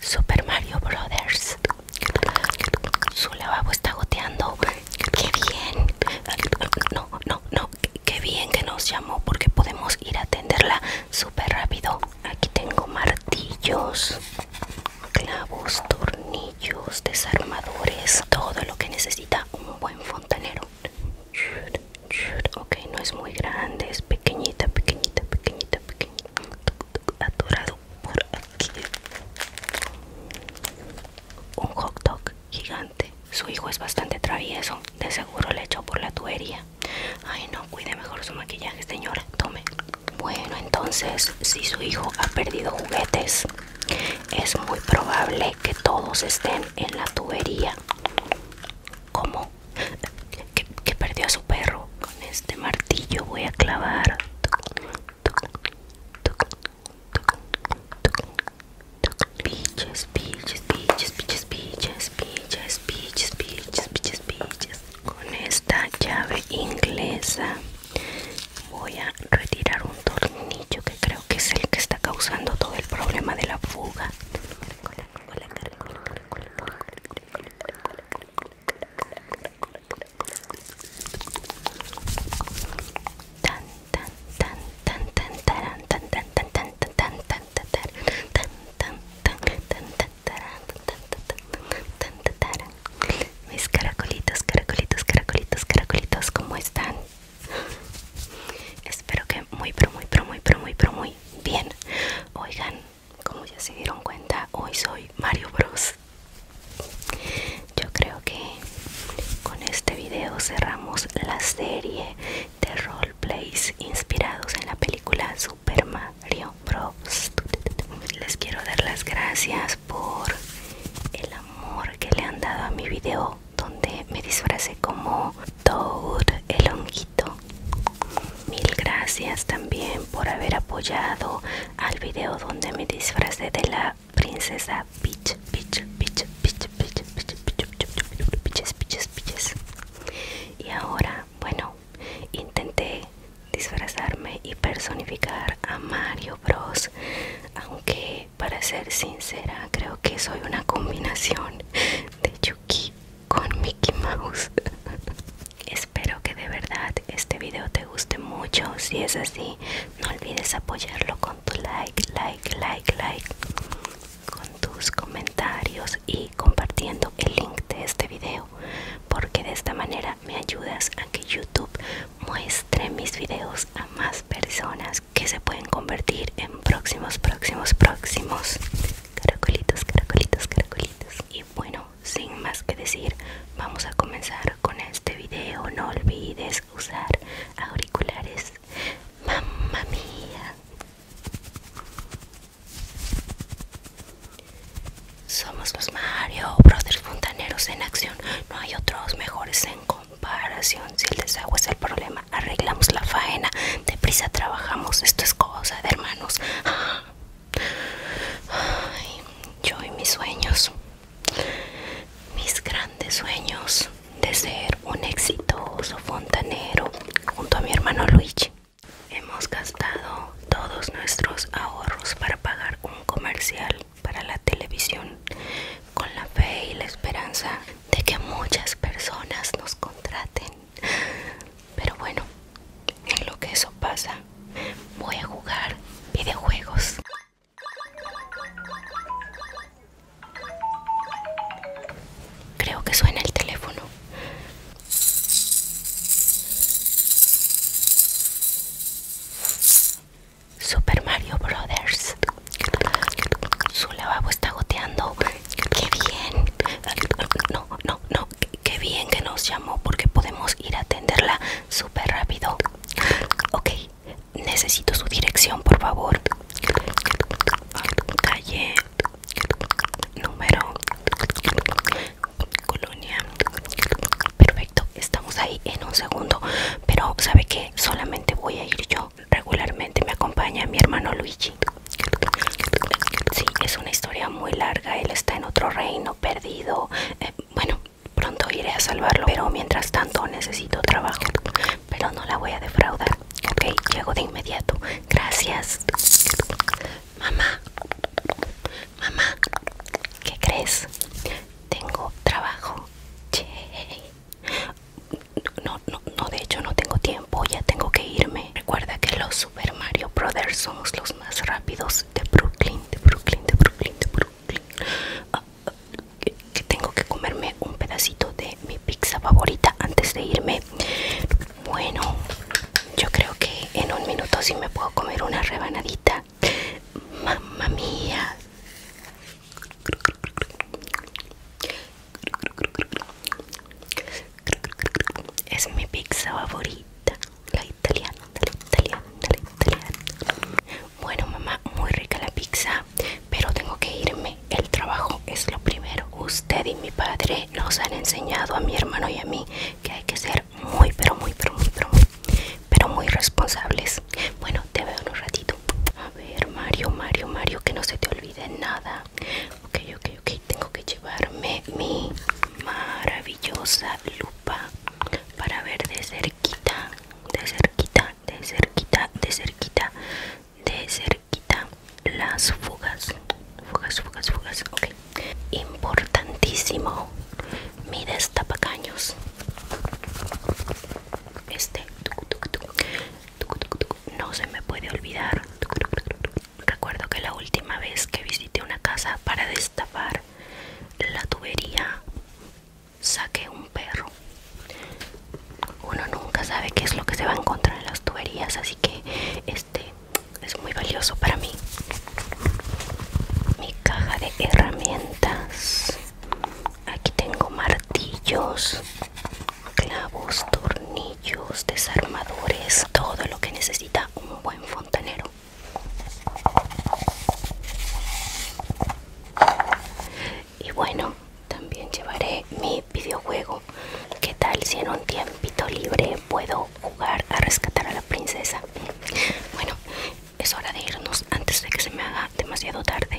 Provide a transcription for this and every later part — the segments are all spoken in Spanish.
Super Mario Brothers. Su lavabo está goteando. que bien. No, no, no. Qué bien que nos llamó porque podemos ir a atenderla súper rápido. Aquí tengo martillos, clavos, tornillos, desarmadores, todo lo que necesita un buen fontanero. Ok, no es muy grande, es pequeñita, pequeñita, pequeñita, pequeñita un hot dog gigante su hijo es bastante travieso de seguro le echó por la tubería ay no cuide mejor su maquillaje señora tome bueno entonces si su hijo ha perdido juguetes es muy probable que todos estén en la tubería como que, perdió a su perro. Con este martillo voy a clavar. Piches, piches, piches, piches, piches, piches, piches, piches, piches, Con esta llave inglesa voy a retirar un tornillo que creo que es el que está causando todo el problema de la fuga mis caracolitos caracolitos caracolitos caracolitos cómo están espero que muy pero muy pero muy pero muy pero muy bien oigan como ya se dieron cuenta hoy soy Mario Bros yo creo que con este video cerramos la serie de roleplays inspirados en la película Super Mario Bros les quiero dar las gracias por el amor que le han dado a mi video donde me disfrazé como Toad el honguito Mil gracias también por haber apoyado al video donde me disfrazé de la princesa Peach, Y ahora, bueno, intenté disfrazarme y personificar a Mario Bros. Aunque, para ser sincera, creo que soy una combinación de Yuki con Mickey Mouse. Espero que de verdad este video te guste mucho. Si es así, no olvides apoyarlo con tu like, like, like, like, con tus comentarios y compartiendo el link de este video, porque de esta manera me ayudas a que YouTube muestre mis videos a más personas que se pueden convertir en próximos, próximos, próximos caracolitos, caracolitos, caracolitos. Y bueno, sin más que decir, vamos a comenzar con este video. No olvides usar auriculares. Mamma mía. Somos los Mario Brothers Fontaneros en acción. No hay otros mejores en comparación. Si el desagüe es el problema, arreglamos la faena. Deprisa trabajamos. Esto es cosa de hermanos. Ah yo y mis sueños, mis grandes sueños de ser un exitoso fontanero junto a mi hermano Luigi. Hemos gastado todos nuestros ahorros para pagar un comercial para la televisión con la fe y la esperanza de que muchas personas nos contraten. Pero bueno, en lo que eso pasa, voy a jugar videojuegos. Creo que suena el teléfono. Super Mario Brothers. Su lavabo está goteando. ¡Qué bien! No, no, no, qué bien que nos llamó porque podemos ir a atenderla súper rápido. Ok, necesito su dirección, por favor. Calle, número, colonia. Perfecto, estamos ahí en un segundo. Pero, ¿sabe qué? Solamente voy a ir yo. Regularmente me acompaña mi hermano Luigi. Sí, es una historia muy larga. Él está en otro reino, pero eh, bueno, pronto iré a salvarlo, pero mientras tanto necesito trabajo. Pero no la voy a defraudar. Ok, llego de inmediato. Gracias. Mamá, mamá, ¿qué crees? Tengo trabajo. No, no, no, de hecho no tengo tiempo, ya tengo que irme. Recuerda que los Super Mario Brothers somos los más rápidos de Brooklyn, de Brooklyn, de Brooklyn, de Brooklyn. Ah, que, tengo que comerme un pedacito de mi pizza favorita antes de irme. Bueno, yo creo que en un minuto sí me puedo comer una rebanadita. Mamma mía. Es mi pizza favorita, la italiana, la italiana, italiana. Bueno, mamá, muy rica la pizza, pero tengo que irme. El trabajo es lo primero. Usted y mi padre nos han enseñado a mi hermano y a mí que hay que ser muy, pero muy, pero muy, pero muy, responsables. Bueno, te veo en un ratito. A ver, Mario, Mario, Mario, que no se te olvide nada. Ok, ok, ok, tengo que llevarme mi maravillosa lupa para ver de cerquita, de cerquita, de cerquita, de cerquita, de cerquita las fugas, fugas, fugas, fugas, ok. Importantísimo, mi destapacaños. Este, tucu, tucu, no se me puede olvidar. Recuerdo que la última vez que visité una casa para destapar la tubería, saqué un perro. Uno nunca sabe qué es lo que se va a encontrar en las tuberías, así que este es muy valioso para mí. Mi caja de herramientas. Aquí tengo martillos, clavos, tornillos, desarmadores, todo lo que necesita un buen fontanero. Y bueno, también llevaré mi videojuego. ¿Qué tal si en un tiempito libre puedo jugar a rescatar a la princesa? Bueno, es hora de irnos antes de que se me haga demasiado tarde.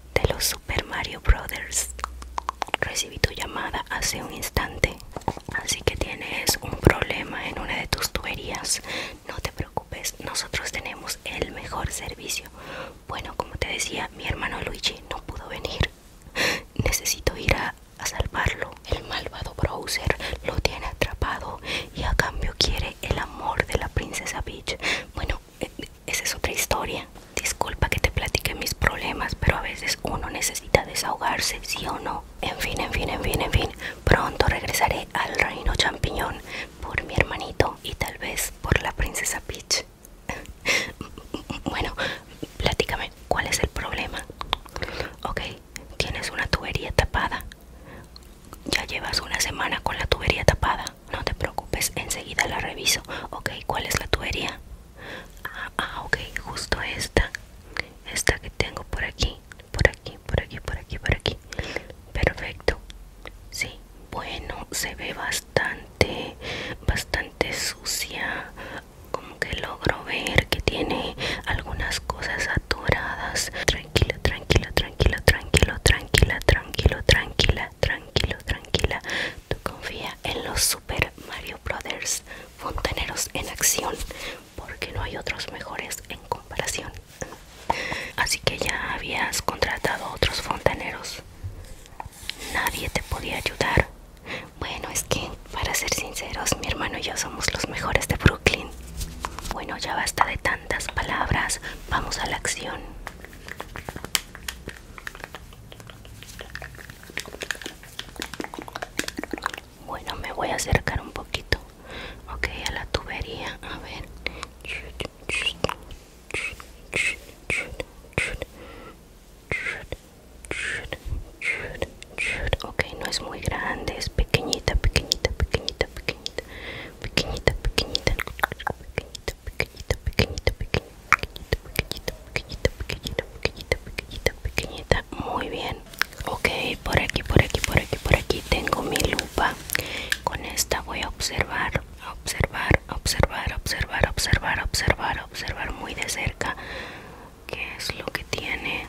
de los Super Mario Brothers. Recibí tu llamada hace un instante, así que tienes un problema en una de tus tuberías. No te preocupes, nosotros tenemos el mejor servicio. Bueno, como te decía, mi hermano Luigi no pudo venir. Necesito ir a, salvarlo. El malvado Browser lo tiene atrapado y a cambio quiere el amor de la princesa Peach. Bueno, eh, esa es otra historia. Disculpa que te platique mis problemas, pero a veces uno necesita desahogarse, sí o no. En fin, en fin, en fin, en fin. Pronto regresaré al reino champiñón por mi hermanito y tal vez por la princesa Peach. bueno, platícame, ¿cuál es el problema? Ok, tienes una tubería tapada. Ya llevas una semana con la tubería tapada no te preocupes, enseguida la reviso. Ok, ¿cuál es la tubería? Ah, ah, ok, justo esta. Esta que tengo por aquí, por aquí, por aquí, por aquí, por aquí. Perfecto. Sí, bueno, se ve bastante, bastante sucia. Como que logro ver que tiene algunas cosas atoradas. Tranquila, tranquilo tranquila, tranquilo, tranquila, tranquilo, tranquila, tranquilo tranquilo, tranquila. Tú confía en los Super Mario Brothers fontaneros en acción, porque no hay otros mejores en comparación. Así que ya habías contratado otros fontaneros. Nadie te podía ayudar. Bueno, es que, para ser sinceros, mi hermano y yo somos los mejores de Brooklyn. Bueno, ya basta de tantas palabras. Vamos a la acción. Bueno, me voy a acercar un poquito, ok, a la tubería, a ver. Ok, no es muy grande, es pequeñita, pequeñita, pequeñita, pequeñita pequeñita, pequeñita, pequeñita, pequeñita, pequeñita, pequeñita, pequeñita, pequeñita, pequeñita, pequeñita, pequeñita, muy bien. Ok, por aquí, por aquí, por aquí, por aquí tengo mi lupa. Con esta voy a observar, observar, observar, observar, observar, observar, observar muy de cerca qué es lo que tiene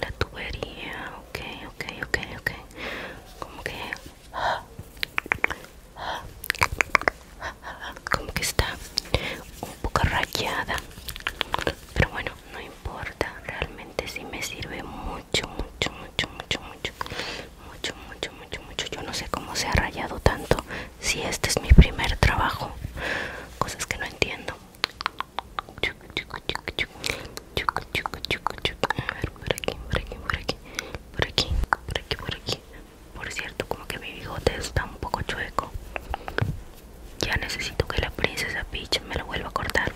la tubería. Ok, ok, ok, ok. Como que como que está un poco rayada pero bueno no importa realmente si sí me sirve mucho mucho mucho mucho mucho mucho mucho mucho mucho yo no sé cómo se ha rayado tanto si este es mi primer trabajo cosas que no entiendo a ver, por aquí por aquí por aquí por aquí por aquí por aquí por cierto, como que mi bigote está un poco chueco. Ya necesito que la princesa Peach me lo vuelva a cortar.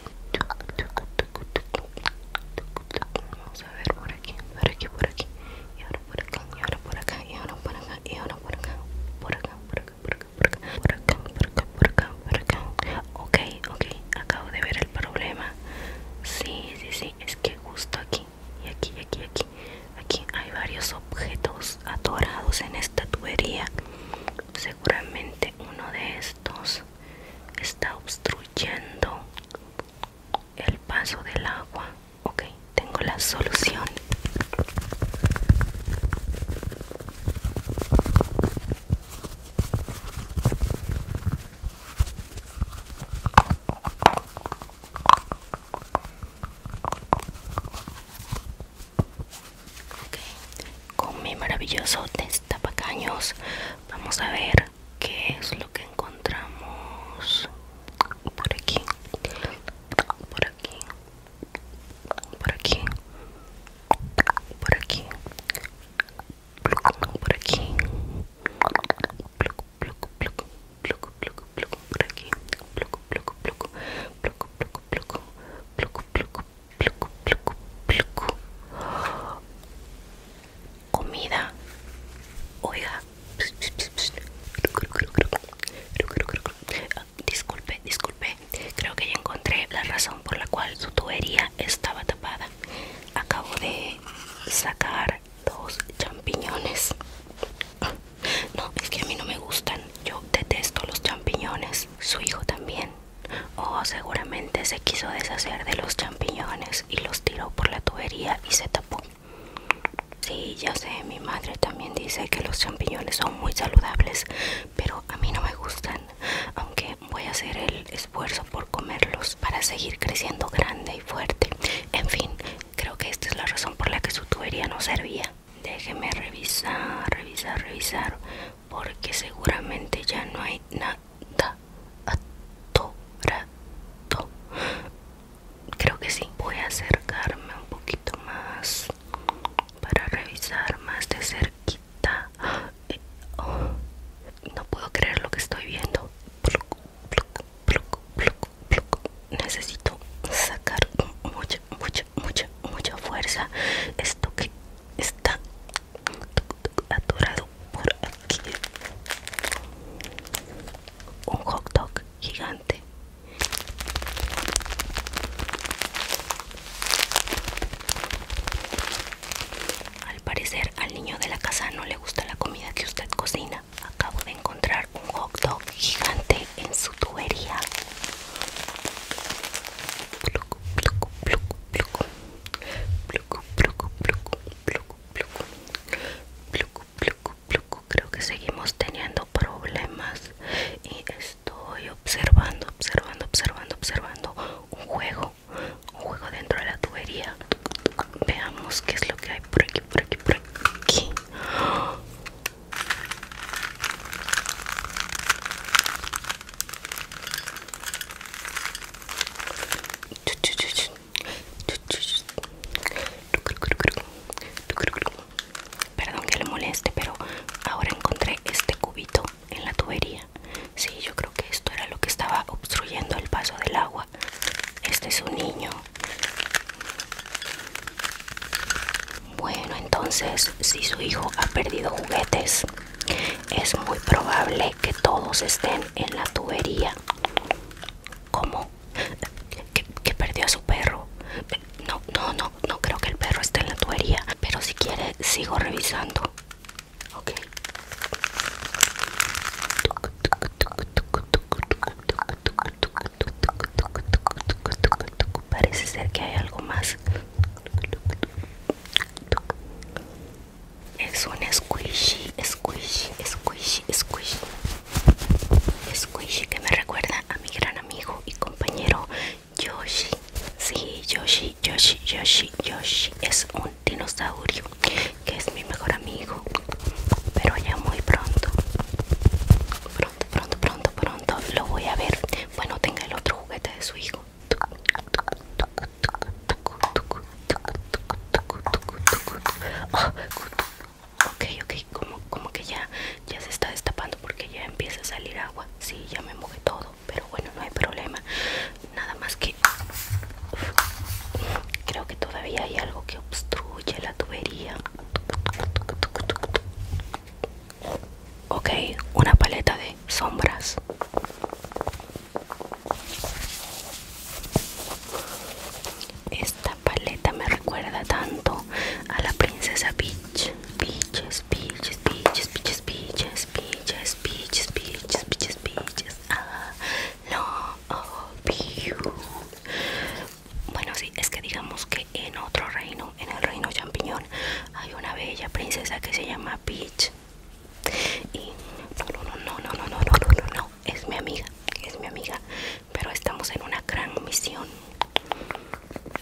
Vamos a ver por aquí, por aquí, por aquí. Y ahora por acá, y ahora por acá, y ahora por acá, y ahora por acá. Por acá, por acá, por acá, por acá, por acá, por acá, por acá, por acá. Ok, ok, acabo de ver el problema. Sí, sí, sí, es que justo aquí aquí, y aquí, aquí, aquí. hay varios objetos atorados en esta tubería. Seguramente uno de estos está obstruyendo el paso del agua. Ok, tengo la solución. Con mi maravilloso destapacaños vamos a ver qué es lo que encontramos por aquí, por aquí, por aquí, por aquí, por aquí, por aquí, pluco, pluco, pluco, pluco, pluco por aquí, pluco, pluco, pluco, pluco, pluco, pluco, pluco, pluco, pluco, pluco, pluco. Comida. Oiga. Disculpe, disculpe. Creo que ya encontré la razón por la cual su tubería estaba tapada. Acabo de sacar dos champiñones no es que a mí no me gustan yo detesto los champiñones su hijo también oh seguramente se quiso deshacer de los champiñones y los tiró por la tubería y se tapó Sí, ya sé, mi madre también dice que los champiñones son muy saludables, pero a mí no me gustan, aunque voy a hacer el esfuerzo por comerlos para seguir creciendo grande fuerte. En fin, creo que esta es la razón por la que su tubería no servía. Déjeme revisar, revisar, revisar, porque seguramente ya no hay nada atorado. Creo que sí. Voy a acercarme un poquito más para revisar más de cerquita. Eh, oh, no puedo creer lo que estoy viendo necesito sacar mucha mucha mucha mucha fuerza esto que está atorado por aquí un hot dog gigante al parecer al niño de la casa no le gusta la comida que usted cocina acabo de encontrar un hot dog gigante en su tubería. Creo que seguimos teniendo problemas y estoy observando, observando, observando, observando un juego, un juego dentro de la tubería. Veamos qué es lo que hay por aquí, por aquí, por aquí. Perdón que le moleste, pero ahora encontré este cubito en la tubería. Sí, yo creo que esto era lo que estaba obstruyendo el paso del agua. Este es un niño bueno, entonces si su hijo ha perdido juguetes, es muy probable que todos estén en la tubería. ¿Cómo? ¿Que, perdió a su perro? No, no, no, no creo que el perro esté en la tubería, pero si quiere sigo revisando. Ok. Parece ser que hay algo más. Es un squishy, squishy, squishy, squishy. Squishy que me recuerda a mi gran amigo y compañero Yoshi. Sí, Yoshi, Yoshi, Yoshi, Yoshi. Es un dinosaurio que es mi mejor amigo, pero ya muy pronto, pronto, pronto, pronto, pronto lo voy a ver. Bueno, tenga el otro juguete de su hijo. Oh, ok, ok, como, como que ya, ya se está destapando porque ya empieza a salir agua. Sí, ya me mojé todo, pero bueno, no hay problema. Nada más que Creo que todavía hay algo que obstruye la tubería. Ok, una paleta de sombras. Esta paleta me recuerda tanto a la princesa Peach. Peaches, peaches, peaches, peaches, peaches, peaches, peaches, peaches, peaches. Ah, no, Peach. Bueno, sí, es que digamos que en otro reino, en el reino champiñón, hay una bella princesa que se llama Peach. Y no, no, no, no, no, no, no, no, no, no, es mi amiga, es mi amiga. Pero estamos en una gran misión.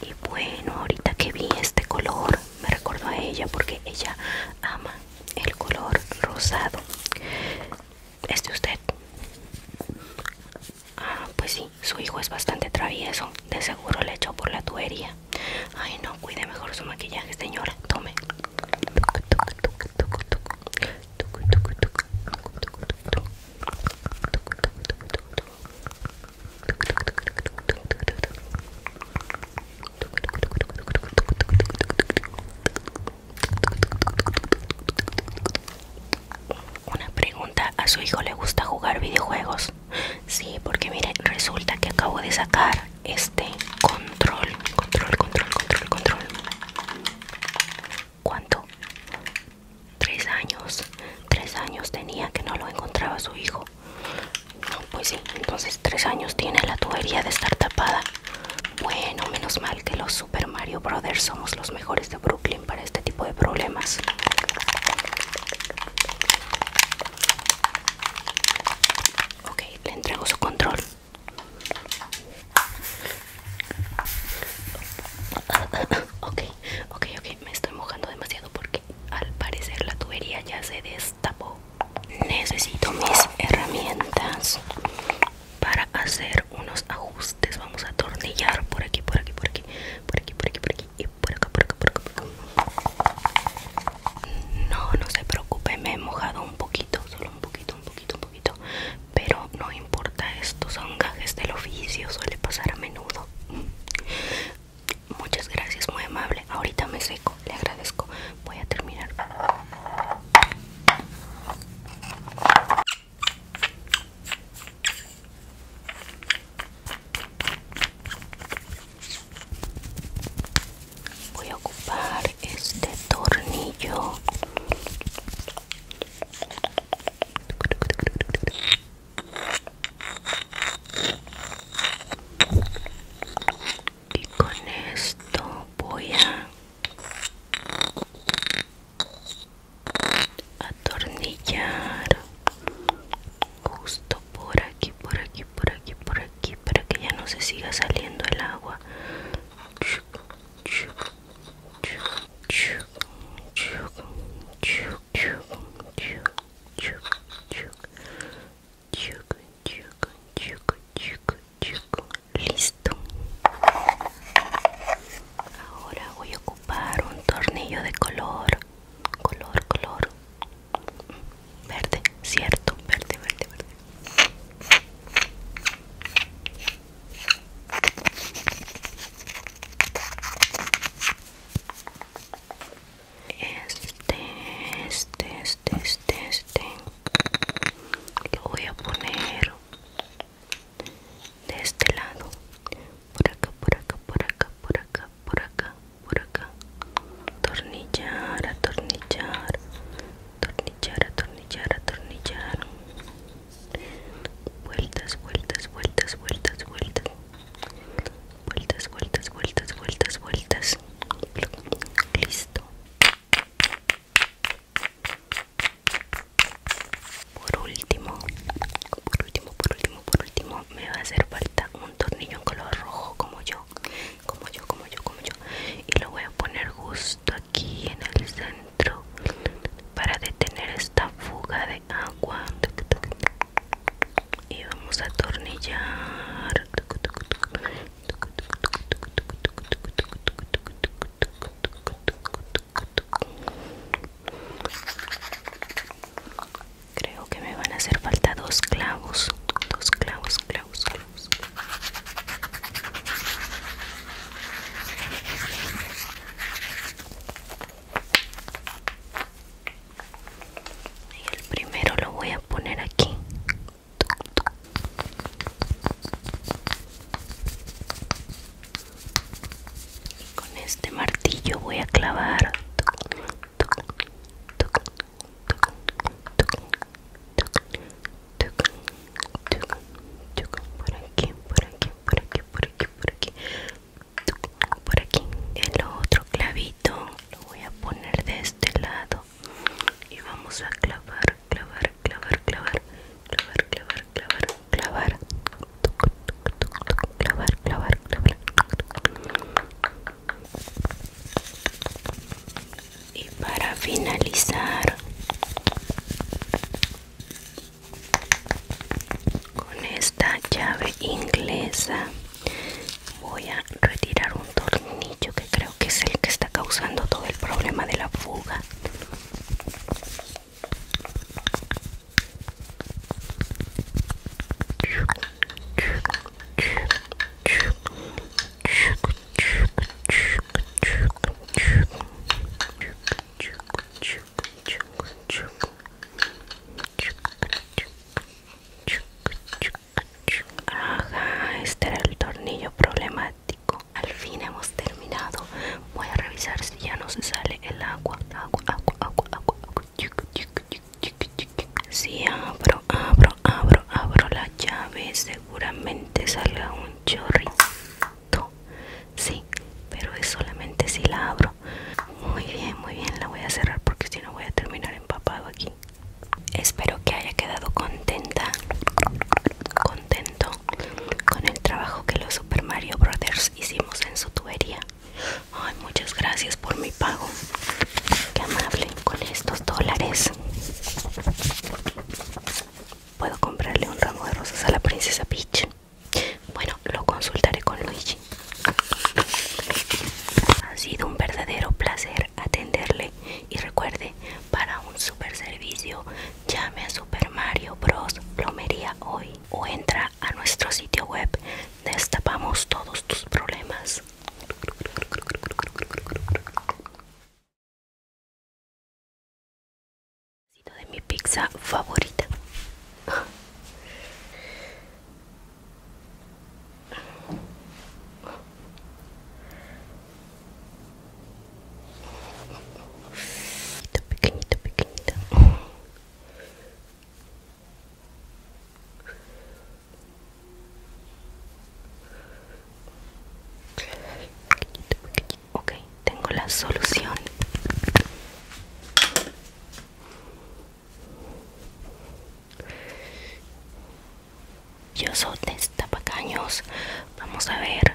Y bueno, ahorita que vi este color, me recuerdo a ella porque ella ama el color rosado. Este usted? Ah, pues sí, su hijo es bastante travieso. De seguro le echó por la tubería. Ay, no, cuide mejor su maquillaje, señora. Tome. Una pregunta, ¿a su hijo le gusta jugar videojuegos? Sí, porque mire, resulta que acabo de sacar este control, control, control, control, control. ¿Cuánto? Tres años. Tres años tenía que no lo encontraba su hijo. No, pues sí, entonces tres años tiene la tubería de estar tapada. Bueno, menos mal que los Super Mario Brothers somos los mejores de Brooklyn para este tipo de problemas. Ok, le entrego su control. Ok, ok, ok, me estoy mojando demasiado porque al parecer la tubería ya se destapó. Necesito mis herramientas para hacer unos ajustes vamos a atornillar por aquí por aquí por aquí por aquí por aquí por aquí y por acá por acá por acá, por acá. no no se preocupe me he mojado un poquito solo un poquito un poquito un poquito pero no importa Estos son gajes del oficio suele pasar a menudo muchas gracias muy amable ahorita me seco le agradezco voy a terminar Voy a ocupar este tornillo. Y con esto voy a atornillar justo por aquí por aquí por aquí por aquí para que ya no se siga saliendo el agua listo ahora voy a ocupar un tornillo de color color color verde cierto verde verde verde este, este, este, este, este. Lo voy a poner de este lado por acá por acá por acá por acá por acá por acá tornillar atornillar tornillar atornillar atornillar vueltas vueltas vueltas vueltas vueltas vueltas vueltas vueltas vueltas vueltas listo por último, por último, por último, por último, me va a hacer falta un tornillo en color rojo como yo, como yo, como yo, como yo. Y lo voy a poner justo aquí en el centro para detener esta fuga de agua. Y vamos a atornillar. Creo que me van a hacer falta dos clavos, dos clavos, clavos, clavos. Y el primero lo voy a poner aquí con este martillo voy a clavar por aquí, por aquí, por aquí, por aquí, por aquí, por aquí. El otro clavito lo voy a poner de este lado y vamos a clavar, clavar, clavar, clavar, clavar, clavar, clavar, clavar, clavar, clavar, clavar. Y para finalizar con esta llave inglesa voy a retirar un tornillo que creo que es el que está causando todo el problema de la fuga este era el tornillo problemático al fin hemos terminado. Voy a revisar si ya no se sale el agua. Agua, agua, agua, agua. Si abro, abro, abro, abro la llave, seguramente salga un chorrito. Sí, pero es solamente si la abro. Muy bien, muy bien, la voy a cerrar porque si no voy a terminar empapado aquí. Espero que haya quedado contenta contento con el trabajo que los Super Mario Brothers hicimos en su tubería. Ay, muchas gracias por mi pago. Qué amable con estos dólares. Puedo comprarle un ramo de rosas a la princesa Peach. Bueno, lo consultaré con Luigi. Ha sido un verdadero placer atenderle y recuerde, para un super servicio Llame a Super Mario Bros. Plomería hoy o entra a nuestro sitio web. Destapamos todos tus problemas. De mi pizza favorita pequeñito, pequeñito. Pequeñito, pequeñito. Ok, tengo la solución. Yo soy de Tapacanos, Vamos a ver